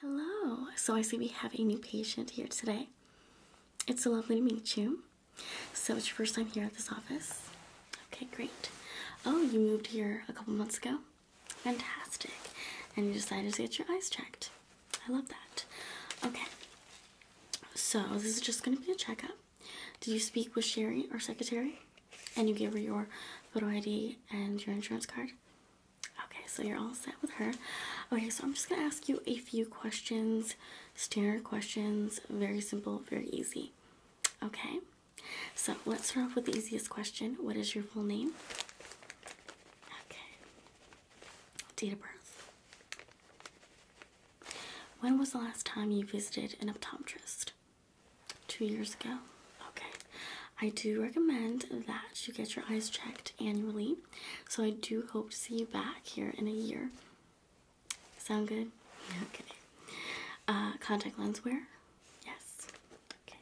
Hello. So I see we have a new patient here today. It's so lovely to meet you. So it's your first time here at this office. Okay, great. Oh, you moved here a couple months ago. Fantastic. And you decided to get your eyes checked. I love that. Okay. So this is just going to be a checkup. Did you speak with Sherry, our secretary? And you gave her your photo ID and your insurance card? Okay, so you're all set with her. Okay, so I'm just gonna ask you a few questions, standard questions, very simple, very easy. Okay, so let's start off with the easiest question. What is your full name? Okay, date of birth. When was the last time you visited an optometrist? Two years ago. Okay, I do recommend that you get your eyes checked annually. So I do hope to see you back here in a year. Sound good? Okay. Uh, contact lens wear? Yes. Okay.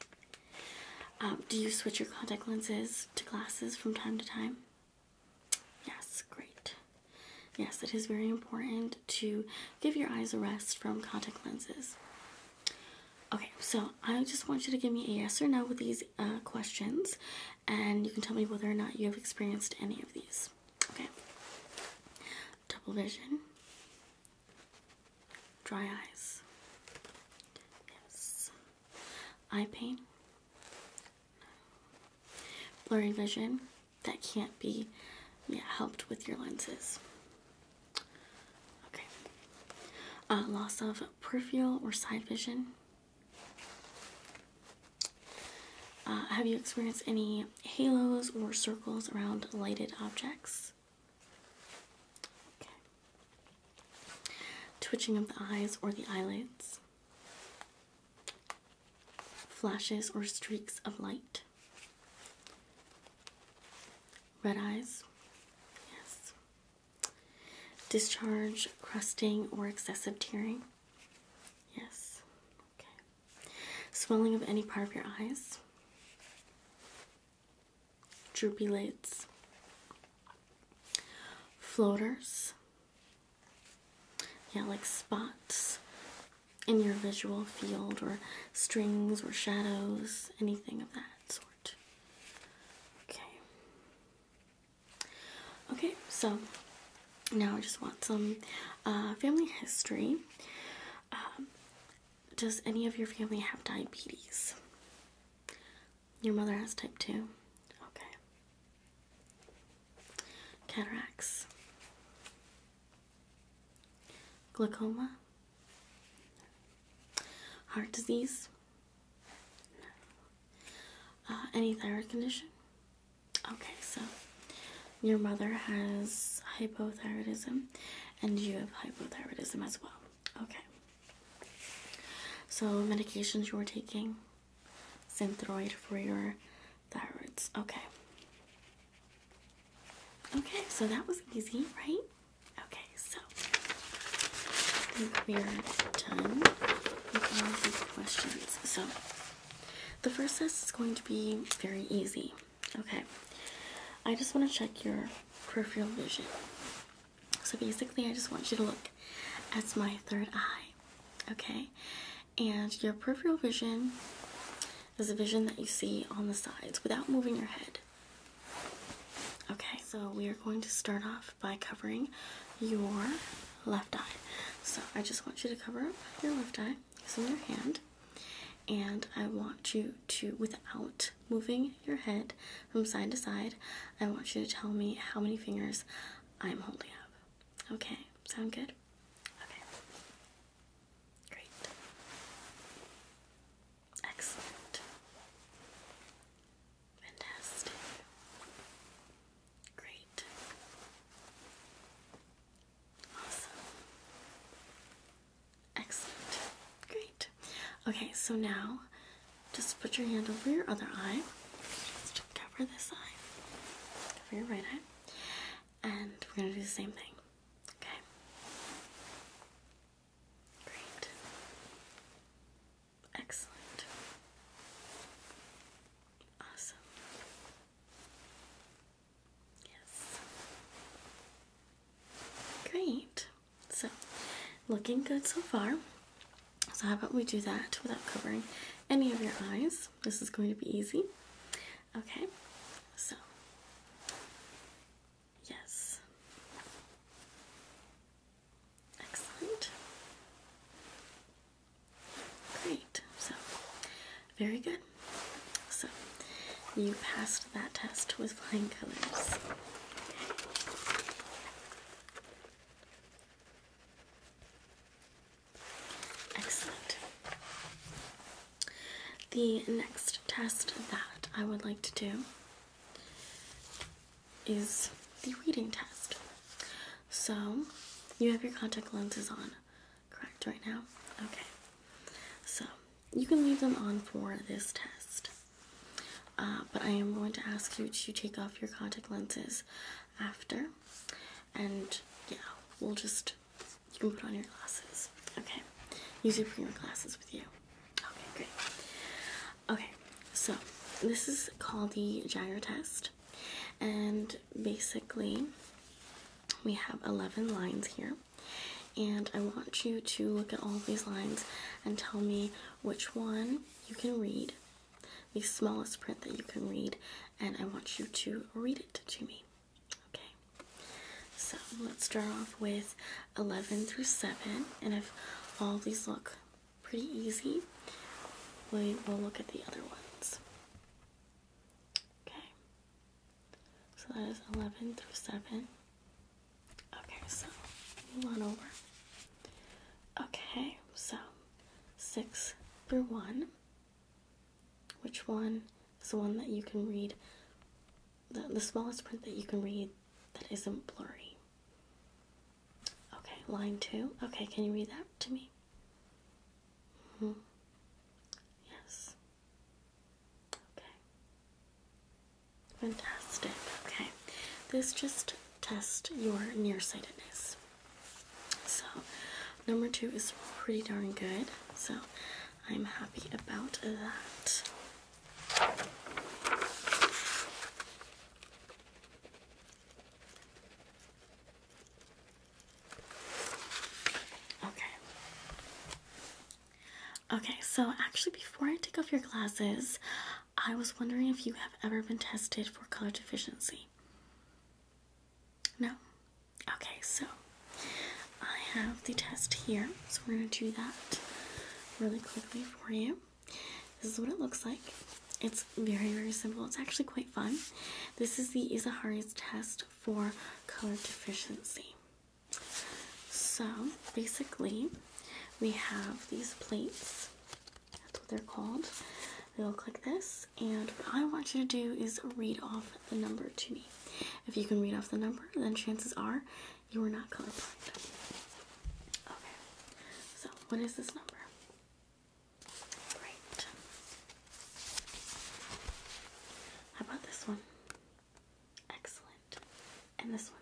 Um, do you switch your contact lenses to glasses from time to time? Yes, great. Yes, it is very important to give your eyes a rest from contact lenses. Okay, so I just want you to give me a yes or no with these uh, questions, and you can tell me whether or not you have experienced any of these. Okay. Double vision. Dry eyes. Yes. Eye pain. Blurry vision. That can't be yeah, helped with your lenses. Okay. Uh, loss of peripheral or side vision. Uh, have you experienced any halos or circles around lighted objects? Okay. Twitching of the eyes or the eyelids. Flashes or streaks of light. Red eyes. Yes discharge, crusting, or excessive tearing? Yes. Okay. Swelling of any part of your eyes? Droopy lids? Floaters? Yeah, like spots in your visual field or strings or shadows, anything of that sort. Okay. Okay, so now I just want some uh, family history. Um, does any of your family have diabetes? Your mother has type 2. Okay. Cataracts. Glaucoma. Heart disease? Uh, any thyroid condition? Okay, so your mother has hypothyroidism and you have hypothyroidism as well. Okay. So medications you were taking, Synthroid for your thyroids. Okay. Okay, so that was easy, right? Okay, so we are done with all these questions. So the first test is going to be very easy. Okay, I just want to check your peripheral vision. So basically, I just want you to look at my third eye. Okay, and your peripheral vision is a vision that you see on the sides without moving your head. Okay, so we are going to start off by covering your left eye. So I just want you to cover up your left eye using your hand, and I want you to, without moving your head from side to side, I want you to tell me how many fingers I'm holding up. Okay, sound good? Okay. Great. Excellent. Fantastic. Great. Awesome. Excellent. Great. Okay, so now just put your hand over your other eye. Just cover this eye. Cover your right eye. And we're going to do the same thing. Okay. Great. Excellent. Awesome. Yes. Great. So, looking good so far. So, how about we do that without covering any of your eyes? This is going to be easy. Okay, so Yes. Excellent. Great. So, very good. So, you passed that test with flying colors. Excellent. The next test that I would like to do is the reading test. So, you have your contact lenses on, correct, right now? Okay. So, you can leave them on for this test. Uh, but I am going to ask you to take off your contact lenses after. And yeah, we'll just, you can put on your glasses. Okay. Use your bring your glasses with you. Okay, great. Okay, so this is called the gyro test, and basically, we have 11 lines here. And I want you to look at all these lines and tell me which one you can read, the smallest print that you can read, and I want you to read it to me. Okay, so let's start off with 11 through 7. And if all these look pretty easy, we will look at the other ones. Okay. So that is 11 through 7. Okay, so move on over. Okay, so 6 through 1. Which one is the one that you can read the, the smallest print that you can read that isn't blurry. Okay, line two. Okay, can you read that to me? hmm Yes. Okay. Fantastic. Okay, this just tests your nearsightedness. So, number two is pretty darn good. So, I'm happy about that. Okay. Okay, so actually, before I take off your glasses, I was wondering if you have ever been tested for color deficiency. No? Okay, so I have the test here. So we're going to do that really quickly for you. This is what it looks like. It's very, very simple. It's actually quite fun. This is the Izahari's test for color deficiency. So basically, we have these plates. That's what they're called. They look like this. And what I want you to do is read off the number to me. If you can read off the number, then chances are you are not colorblind. Okay, so what is this number? Right. How about this one? Excellent. And this one?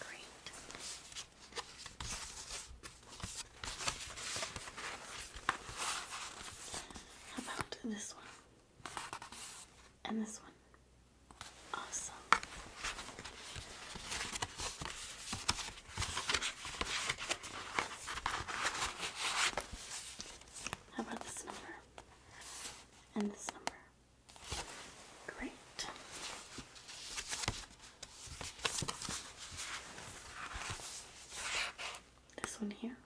Great. How about this one? And this one. Awesome. How about this number? And this number. Great. This one here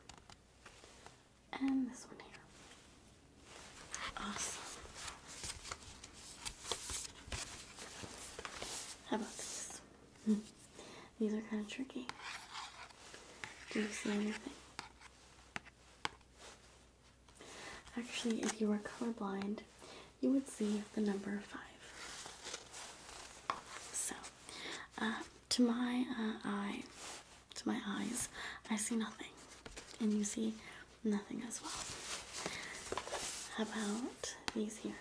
and this one here. Awesome. How about these? Hmm. these are kind of tricky. Do you see anything? Actually, if you were colorblind, you would see the number five. So, uh, to my uh, eye, to my eyes, I see nothing. And you see nothing as well. about these here?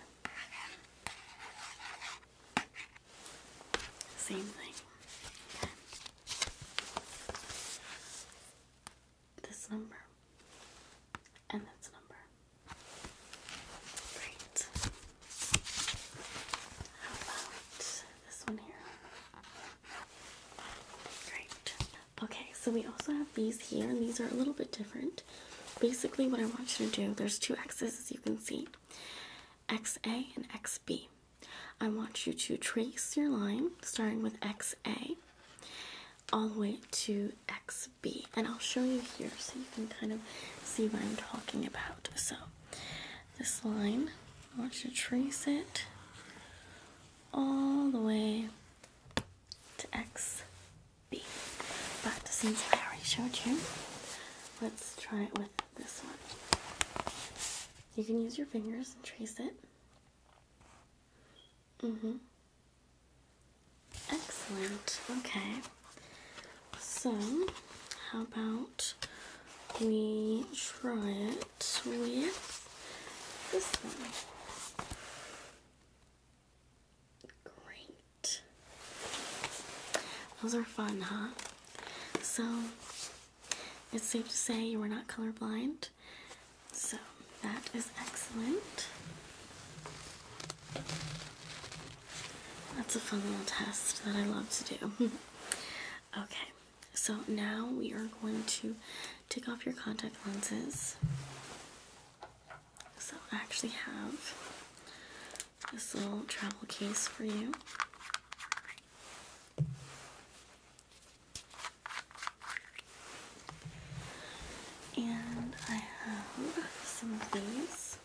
Same thing. This number and this number. Great. How about this one here. Great. Okay, so we also have these here, and these are a little bit different. Basically, what I want you to do, there's two X's as you can see, XA and XB. I want you to trace your line starting with XA all the way to XB. And I'll show you here so you can kind of see what I'm talking about. So this line, I want you to trace it all the way to XB. But since I already showed you, let's try it with this one. You can use your fingers and trace it. Mm-hmm. Excellent. Okay. So, how about we try it starts this one. Great. Those are fun, huh? So, it's safe to say you were not colorblind. So, that is excellent. That's a fun little test that I love to do. okay. So now we are going to take off your contact lenses. So I actually have this little travel case for you. And I have some of these.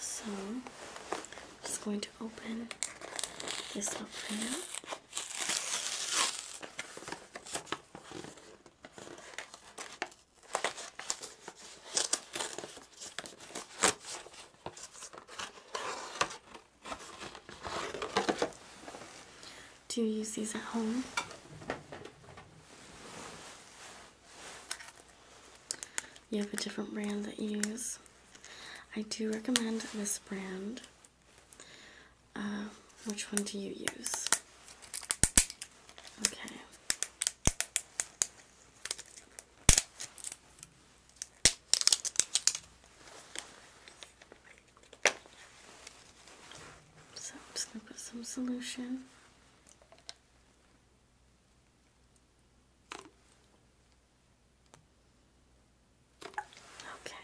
So I'm just going to open this up for now. Do you use these at home? You have a different brand that you use. I do recommend this brand. Um, which one do you use? Okay. So just going to put some solution. Okay.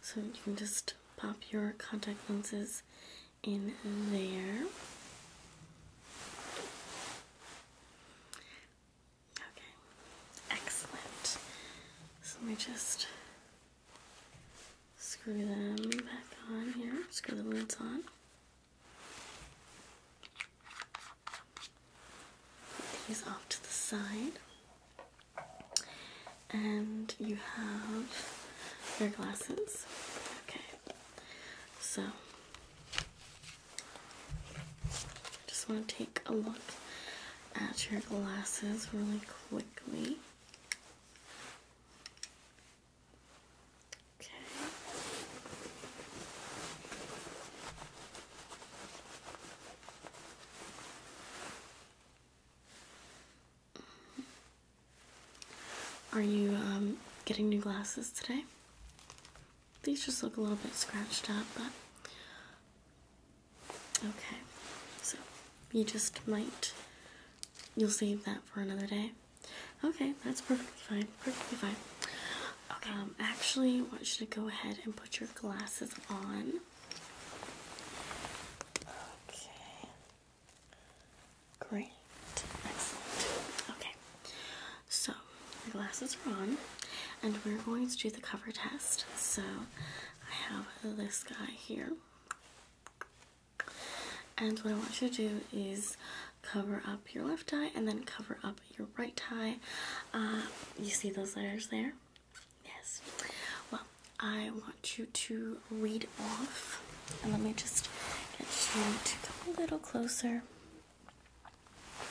So you can just pop your contact lenses in there. Okay. Excellent. So let just screw them back on here. Screw the lids on. These off to the side. And you have your glasses. Okay. So just want to take a look at your glasses really quickly. Okay. Are you um, getting new glasses today? These just look a little bit scratched up, but okay. So you just might, you'll save that for another day. Okay, that's perfectly fine. Perfectly fine. Okay. Um, actually, I want you to go ahead and put your glasses on. Okay. Great. Excellent. Okay. So, the glasses are on, and we're going to do the cover test. So, I have this guy here. And what I want you to do is cover up your left eye and then cover up your right eye. Uh, you see those letters there? Yes. Well, I want you to read off, and let me just get you to come a little closer.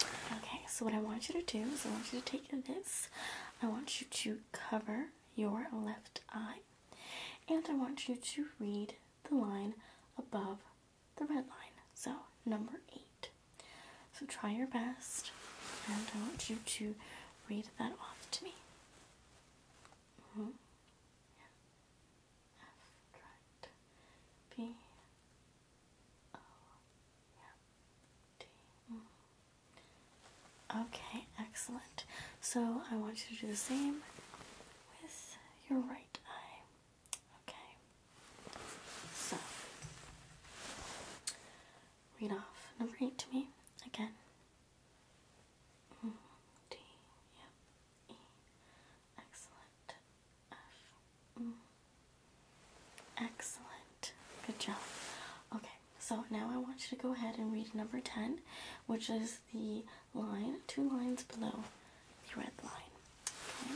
Okay, so what I want you to do is I want you to take this, I want you to cover your left eye, and I want you to read the line above the red line. So, number eight. So, try your best, and I want you to read that off to me. Mm Okay, excellent. So, I want you to do the same with your right eye. Okay, so read off number eight to me again. Mm, D, yep, E, excellent, F, mm. excellent, good job. Okay, so now I want you to go ahead and read number 10, which is the line two lines below the red line. Okay?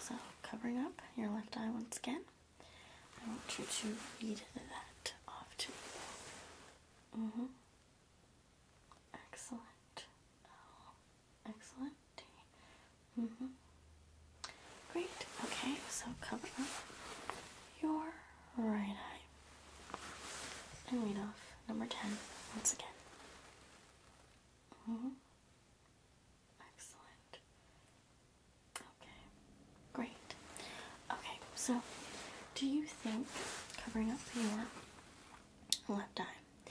So covering up your left eye once again. I want you to read that off to me. Mm hmm Excellent. Oh, excellent. Mm hmm Great. Okay, so cover up your right eye. And read off number 10 once again. Mm hmm Excellent. Okay, great. Okay, so do you think covering up your left eye,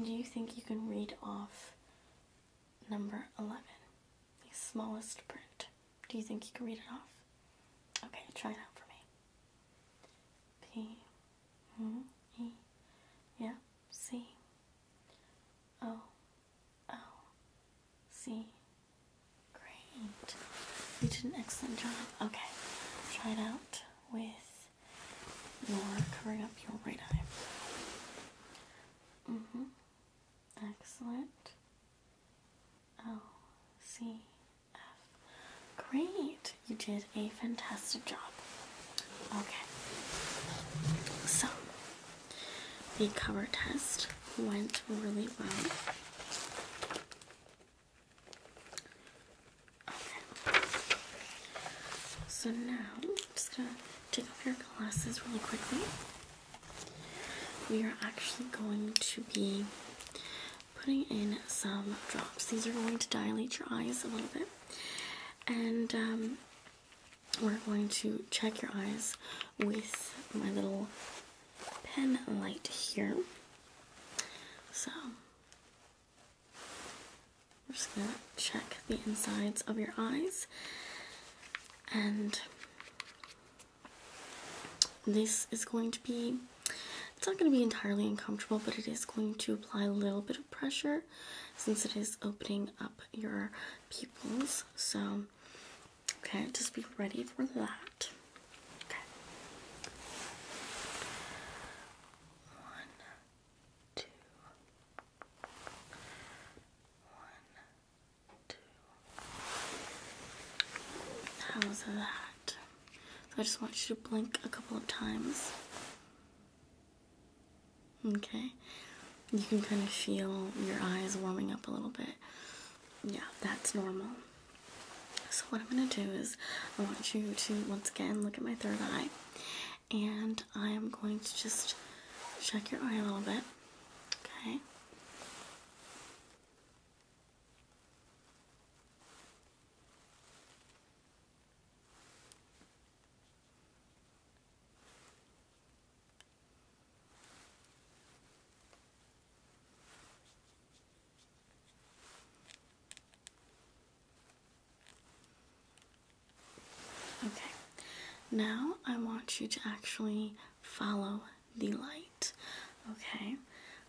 do you think you can read off number 11, the smallest print? Do you think you can read it off? Okay, try it out for me. P, M, E, yeah, C, O L C. Great. You did an excellent job. Okay. Try it out with your covering up your right eye. Mm-hmm. Excellent. O oh, C F. Great. You did a fantastic job. Okay. So the cover test went really well. Okay. So now I'm just gonna take off your glasses really quickly. We are actually going to be putting in some drops. These are going to dilate your eyes a little bit. And um, we're going to check your eyes with my little pen light here. So, we're just going to check the insides of your eyes. And this is going to be, it's not going to be entirely uncomfortable, but it is going to apply a little bit of pressure since it is opening up your pupils. So, okay, just be ready for that. Okay. One, two, one, two. How's that? So I just want you to blink a couple of times. Okay, you can kind of feel your eyes warming up a little bit. Yeah, that's normal. So, what I'm going to do is, I want you to once again look at my third eye, and I am going to just check your eye a little bit. Okay. Okay, now I want you to actually follow the light. Okay,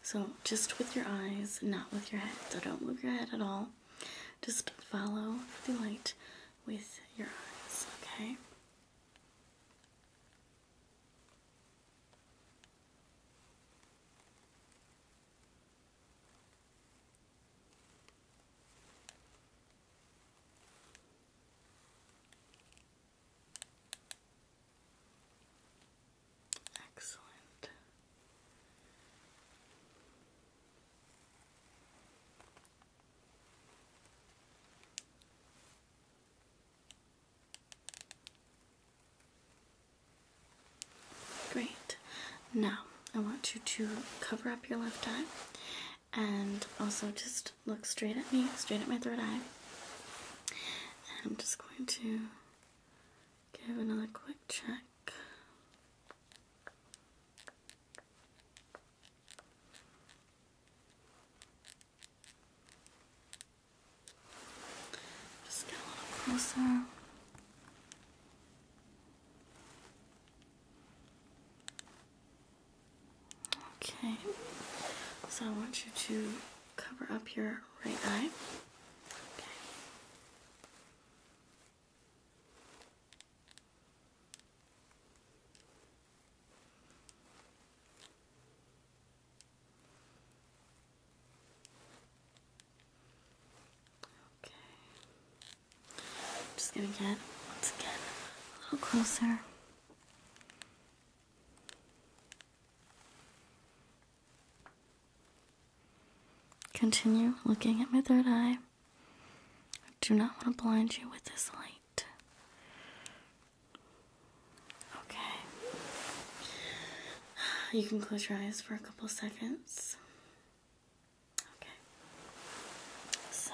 so just with your eyes, not with your head. So don't move your head at all. Just follow the light with your eyes, okay? Excellent. Great. Now, I want you to cover up your left eye and also just look straight at me, straight at my third eye. And I'm just going to give another quick check. Just get a little closer. Okay, so I want you to cover up your right eye. Okay. Okay. I'm just gonna get once again a little closer. Continue looking at my third eye. I do not want to blind you with this light. Okay. You can close your eyes for a couple seconds. Okay. So.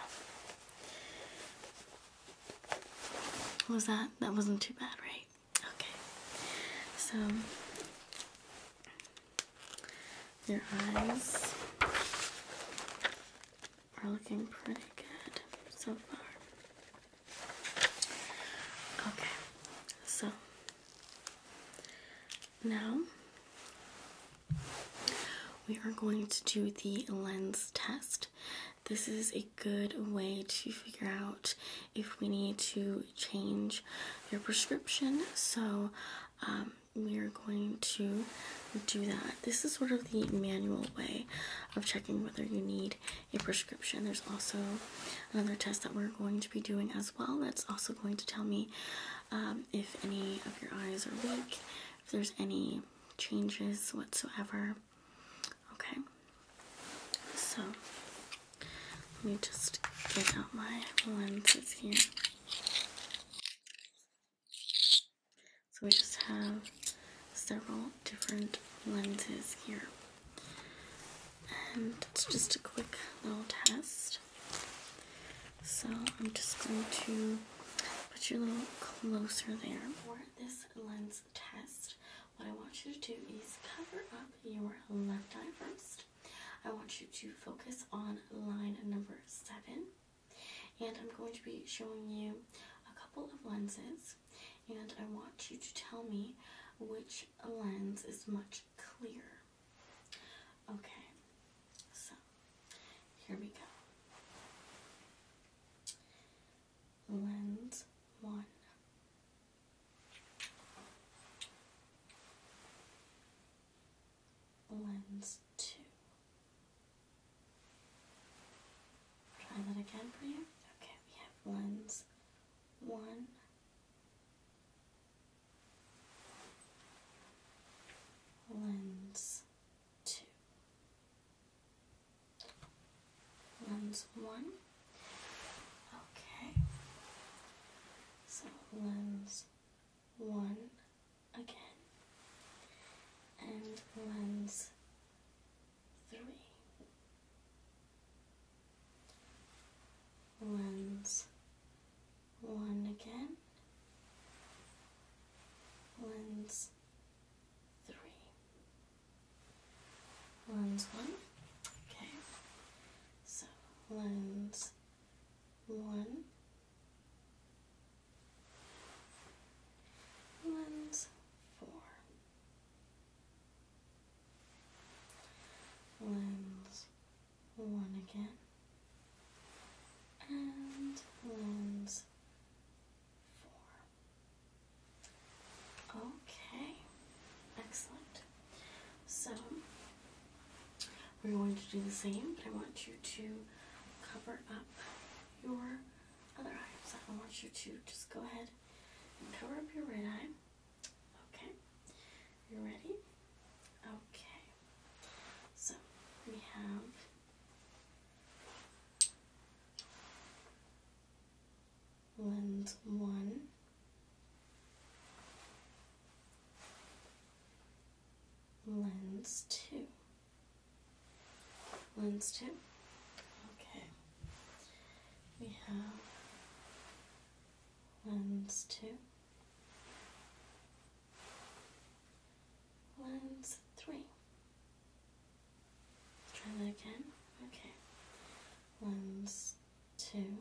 Was that? That wasn't too bad, right? Okay. So. Your eyes are looking pretty good so far. Okay, so now we are going to do the lens test. This is a good way to figure out if we need to change your prescription. So, um, we are going to do that. This is sort of the manual way of checking whether you need a prescription. There's also another test that we're going to be doing as well that's also going to tell me um, if any of your eyes are weak, if there's any changes whatsoever. Okay, so let me just take out my lenses here. So we just have several different lenses here. And it's just a quick little test. So I'm just going to put you a little closer there. For this lens test, what I want you to do is cover up your left eye first. I want you to focus on line number seven, and I'm going to be showing you a couple of lenses, and I want you to tell me which lens is much clearer. Okay, so here we go. Lens one lens two. Try that again for you. Okay, we have lens one. Lens two. Lens one. Okay. So lens one again and lens three lens one again lens three lens one okay so lens one Lens one again. And lens four. Okay, excellent. So we're going to do the same, but I want you to cover up your other eye. So I want you to just go ahead and cover up your right eye. Okay. You ready? Okay. So we have lens one lens two. Lens two. Okay. We have lens two. Lens three. Let's try that again. Okay. Lens two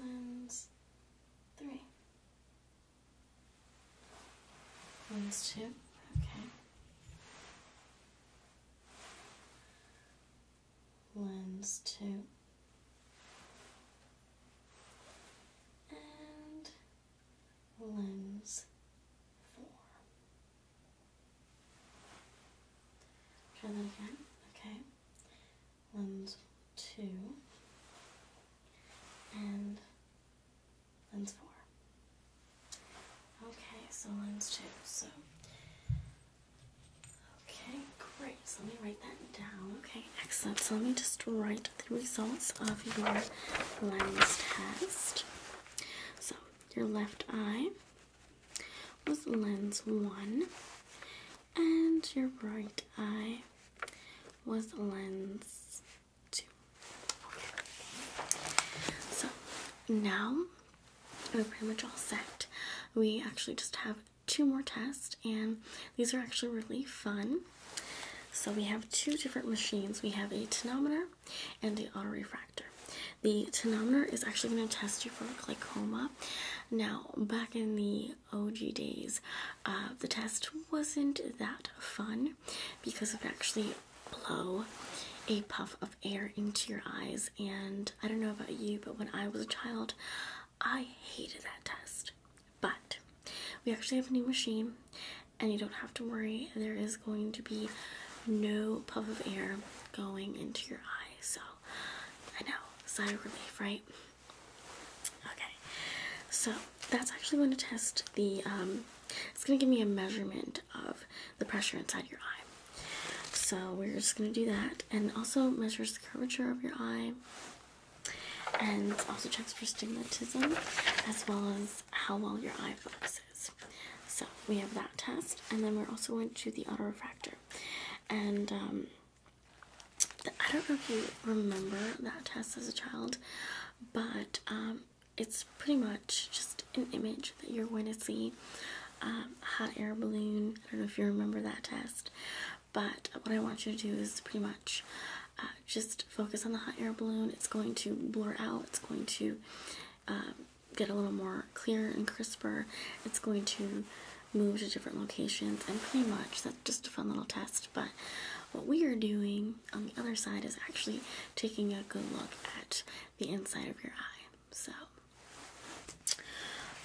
lens three. Lens two, okay. Lens two. And lens four. Try that again, okay. One, two, and lens four. Okay, so lens two. So, okay, great. So let me write that down. Okay, excellent. So let me just write the results of your lens test. So, your left eye was lens one and your right eye was lens two. So now we're pretty much all set. We actually just have two more tests, and these are actually really fun. So we have two different machines. We have a tonometer and the autorefractor. The tonometer is actually going to test you for glaucoma. Now, back in the OG days. Uh, the test wasn't that fun because it actually blow a puff of air into your eyes. And I don't know about you, but when I was a child, I hated that test. But we actually have a new machine, and you don't have to worry. There is going to be no puff of air going into your eyes. So I know, sigh of relief, right? Okay, so that's actually going to test the, um, it's going to give me a measurement of the pressure inside your eye. So we're just going to do that and also measures the curvature of your eye and also checks for stigmatism as well as how well your eye focuses. So we have that test and then we're also going to the autorefractor and um, I don't know if you remember that test as a child, but um, it's pretty much just an image that you're going to see. Um, hot air balloon. I don't know if you remember that test, but what I want you to do is pretty much uh, just focus on the hot air balloon. It's going to blur out. It's going to um, get a little more clear and crisper. It's going to move to different locations and pretty much that's just a fun little test but what we are doing on the other side is actually taking a good look at the inside of your eye so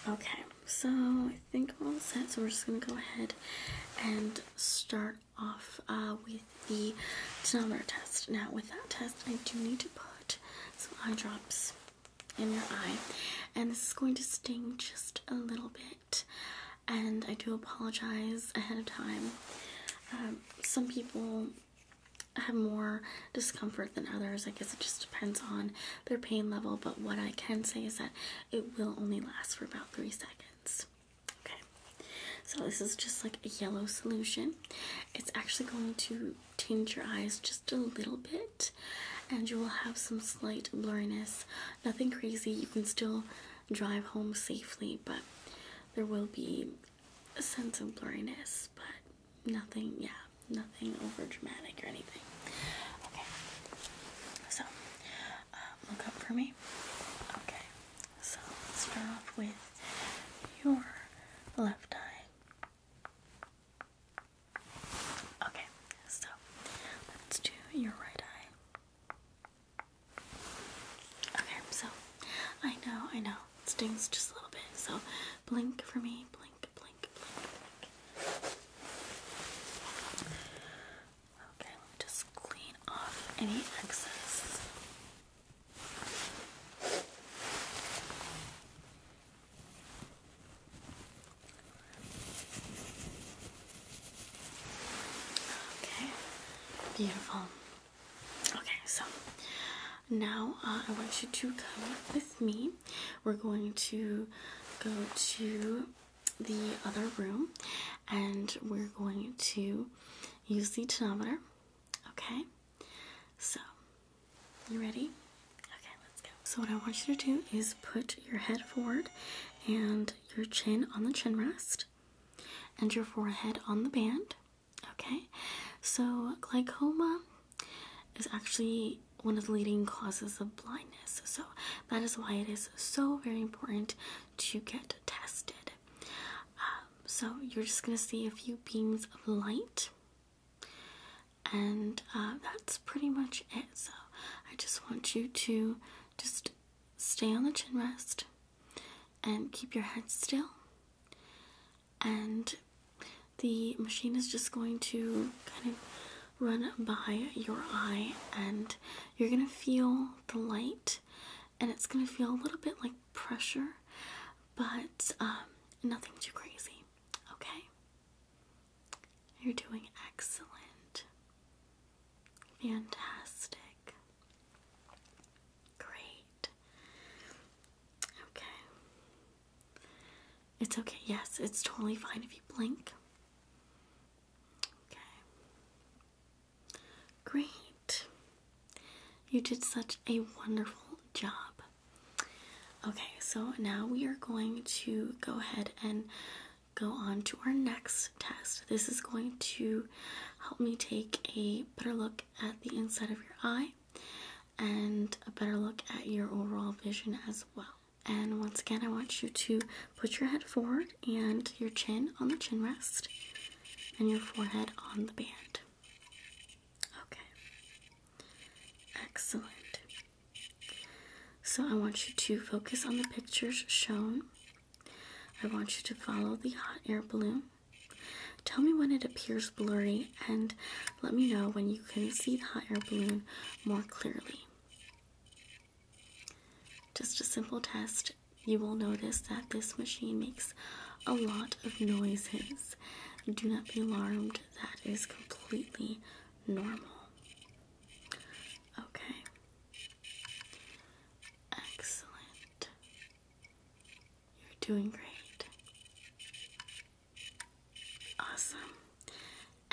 okay so i think we're all set so we're just going to go ahead and start off uh, with the tonometer test now with that test i do need to put some eye drops in your eye. And this is going to sting just a little bit. And I do apologize ahead of time. Um, some people have more discomfort than others. I guess it just depends on their pain level. But what I can say is that it will only last for about three seconds. Okay. So this is just like a yellow solution. It's actually going to tinge your eyes just a little bit and you will have some slight blurriness. Nothing crazy, you can still drive home safely, but there will be a sense of blurriness, but nothing, yeah, nothing over dramatic or anything. Okay, so um, look up for me. Okay, so let's start off with your left eye. Okay, so let's do your right eye. Okay, so I know, I know, stings just a little bit, so blink for me, blink, blink, Okay, let me just clean off any excess. Okay, beautiful. Okay, so now uh, I want you to come with me. We're going to go to the other room and we're going to use the tonometer. Okay, so you ready? Okay, let's go. So what I want you to do is put your head forward and your chin on the chin rest and your forehead on the band. Okay? So glaucoma is actually one of the leading causes of blindness. So that is why it is so very important to get tested. Um, so you're just going to see a few beams of light and uh, that's pretty much it. So I just want you to just stay on the chin rest and keep your head still. And the machine is just going to kind of run by your eye, and you're going to feel the light, and it's going to feel a little bit like pressure, but um, nothing too crazy. Okay? You're doing excellent. Fantastic. Great. Okay. It's okay. Yes, it's totally fine if you blink. Okay. Great. You did such a wonderful job. Okay, so now we are going to go ahead and go on to our next test. This is going to help me take a better look at the inside of your eye and a better look at your overall vision as well. And once again, I want you to put your head forward and your chin on the chin rest and your forehead on the band. Okay. Excellent. So I want you to focus on the pictures shown. I want you to follow the hot air balloon. Tell me when it appears blurry and let me know when you can see the hot air balloon more clearly. Just a simple test. You will notice that this machine makes a lot of noises. Do not be alarmed. That is completely normal. Okay. Excellent. You're doing great. Awesome.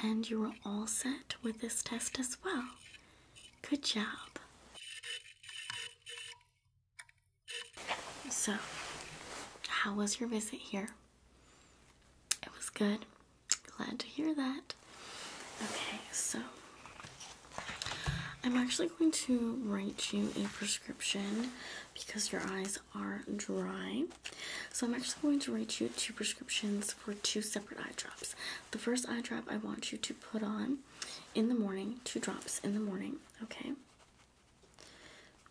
And you are all set with this test as well. Good job. So, how was your visit here? It was good. Glad to hear that. Okay, so I'm actually going to write you a prescription because your eyes are dry. So I'm actually going to write you two prescriptions for two separate eye drops. The first eye drop I want you to put on in the morning, two drops in the morning, okay?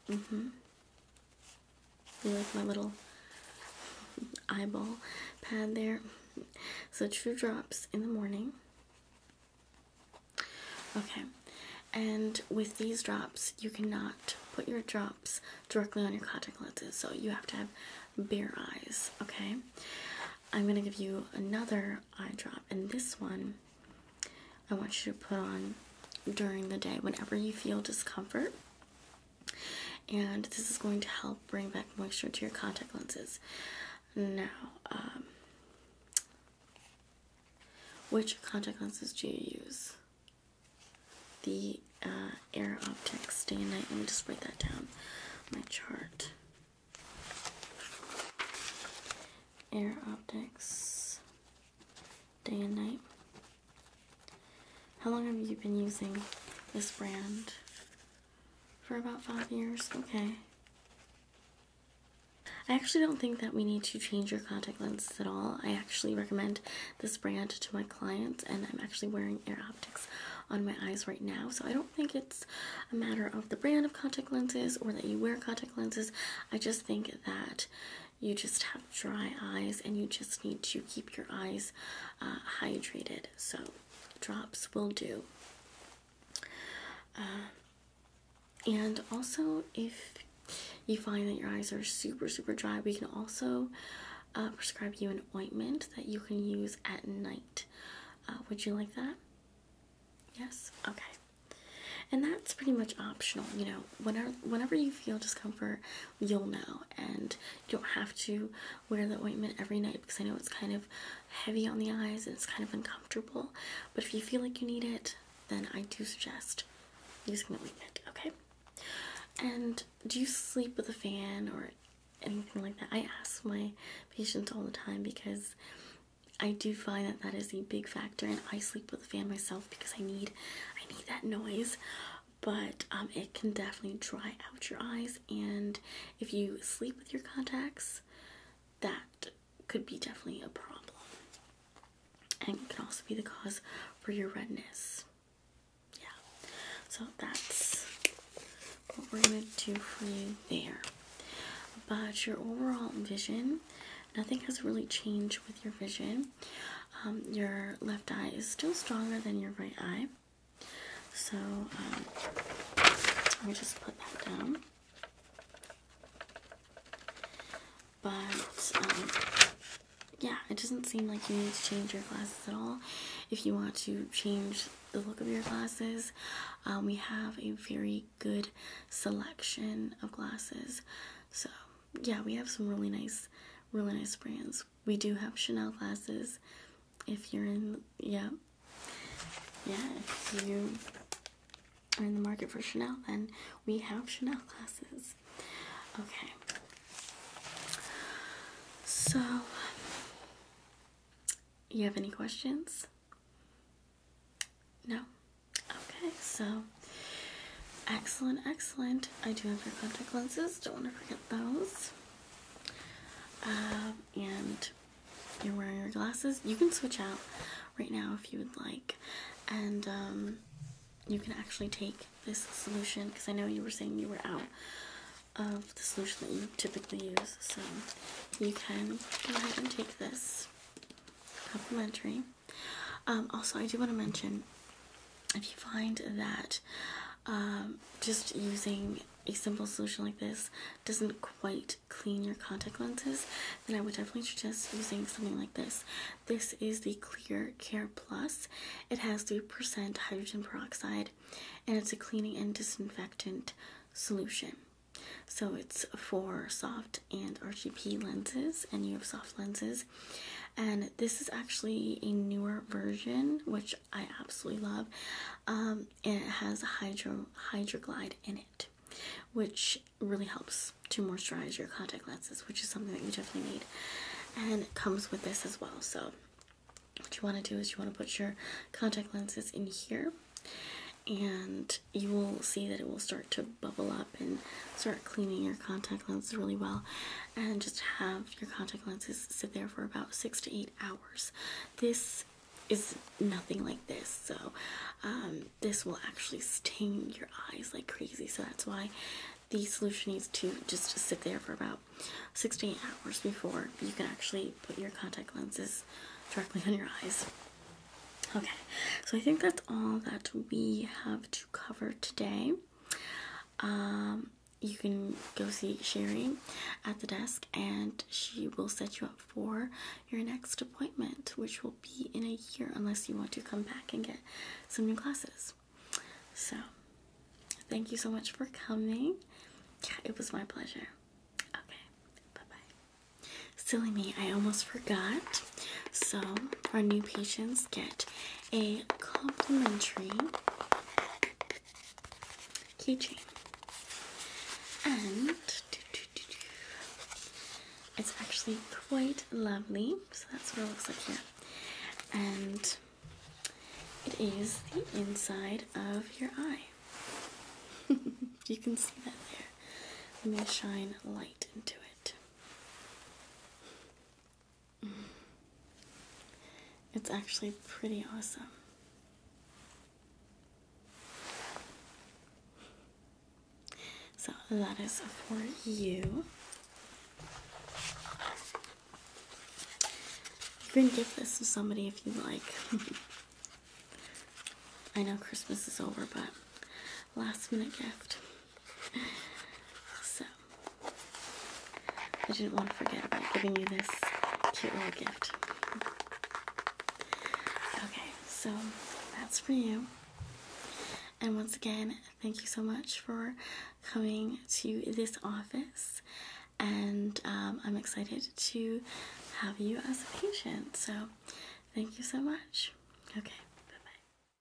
Mhm. Mm with my little eyeball pad there. So True Drops in the morning. Okay, and with these drops, you cannot put your drops directly on your contact lenses, so you have to have bare eyes, okay? I'm gonna give you another eye drop, and this one I want you to put on during the day whenever you feel discomfort and this is going to help bring back moisture to your contact lenses. Now, um, which contact lenses do you use? The uh, Air Optics Day and Night. Let me just write that down. My chart. Air Optics Day and Night. How long have you been using this brand? For about five years? Okay. I actually don't think that we need to change your contact lenses at all. I actually recommend this brand to my clients, and I'm actually wearing Air Optics on my eyes right now. So I don't think it's a matter of the brand of contact lenses or that you wear contact lenses. I just think that you just have dry eyes and you just need to keep your eyes uh, hydrated. So, drops will do. Uh, and also, if you find that your eyes are super, super dry, we can also uh, prescribe you an ointment that you can use at night. would you like that? Yes? Okay. And that's pretty much optional, you know, whenever, whenever you feel discomfort, you'll know and you don't have to wear the ointment every night because I know it's kind of heavy on the eyes it's kind of uncomfortable. But if you feel like you need it, then I do suggest using the ointment, okay? And do you sleep with a fan or anything like that? I ask my patients all the time because I do find that that is a big factor and I sleep with a fan myself because I need I need that noise but um, it can definitely dry out your eyes. And if you sleep with your contacts, that could be definitely a problem. And it can also be the cause for your redness. Yeah, so that's what we're going to do for you there. But your overall vision, nothing has really changed with your vision. Um, your left eye is still stronger than your right eye. So um, let me just put that down. But um, yeah, it doesn't seem like you need to change your glasses at all. If you want to change the look of your glasses, we have a very good selection of glasses. So yeah, we have some really nice, really nice brands. We do have Chanel glasses. If you're in, yeah, yeah, if you are in the market for Chanel, then we have Chanel glasses. Okay. So, you have any questions? No? Okay, so Excellent, excellent. I do have your contact lenses. Don't want to forget those. Um, and you're wearing your glasses. You can switch out right now if you would like. And um, you can actually take this solution because I know you were saying you were out of the solution that you typically use. So you can go ahead and take this complimentary. Um, also, I do want to mention if you find that um, just using a simple solution like this doesn't quite clean your contact lenses, then I would definitely suggest using something like this. This is the Clear Care Plus. It has 3% hydrogen peroxide and it's a cleaning and disinfectant solution. So it's for soft and RGP lenses and you have soft lenses and this is actually a newer version which I absolutely love. Um, and it has hydro hydroglide in it, which really helps to moisturize your contact lenses, which is something that you definitely need. And it comes with this as well. So what you want to do is you want to put your contact lenses in here and you will see that it will start to bubble up and start cleaning your contact lenses really well and just have your contact lenses sit there for about six to eight hours. This is nothing like this, so um, this will actually sting your eyes like crazy. So that's why the solution needs to just sit there for about six to eight hours before you can actually put your contact lenses directly on your eyes. Okay, so I think that's all that we have to cover today. Um, you can go see Sherry at the desk, and she will set you up for your next appointment, which will be in a year, unless you want to come back and get some new glasses. So, thank you so much for coming. Yeah, it was my pleasure. Okay, bye bye. Silly me, I almost forgot. So our new patients get a complimentary keychain. And it's actually quite lovely. So that's what it looks like here. And it is the inside of your eye. you can see that there. I'm going to shine light into it. It's actually pretty awesome. So that is for you. You can give this to somebody if you like. I know Christmas is over, but last minute gift. So I didn't want to forget about giving you this cute little gift. Okay, so that's for you. And once again, thank you so much for coming to this office. And um, I'm excited to have you as a patient. So thank you so much. Okay, bye bye.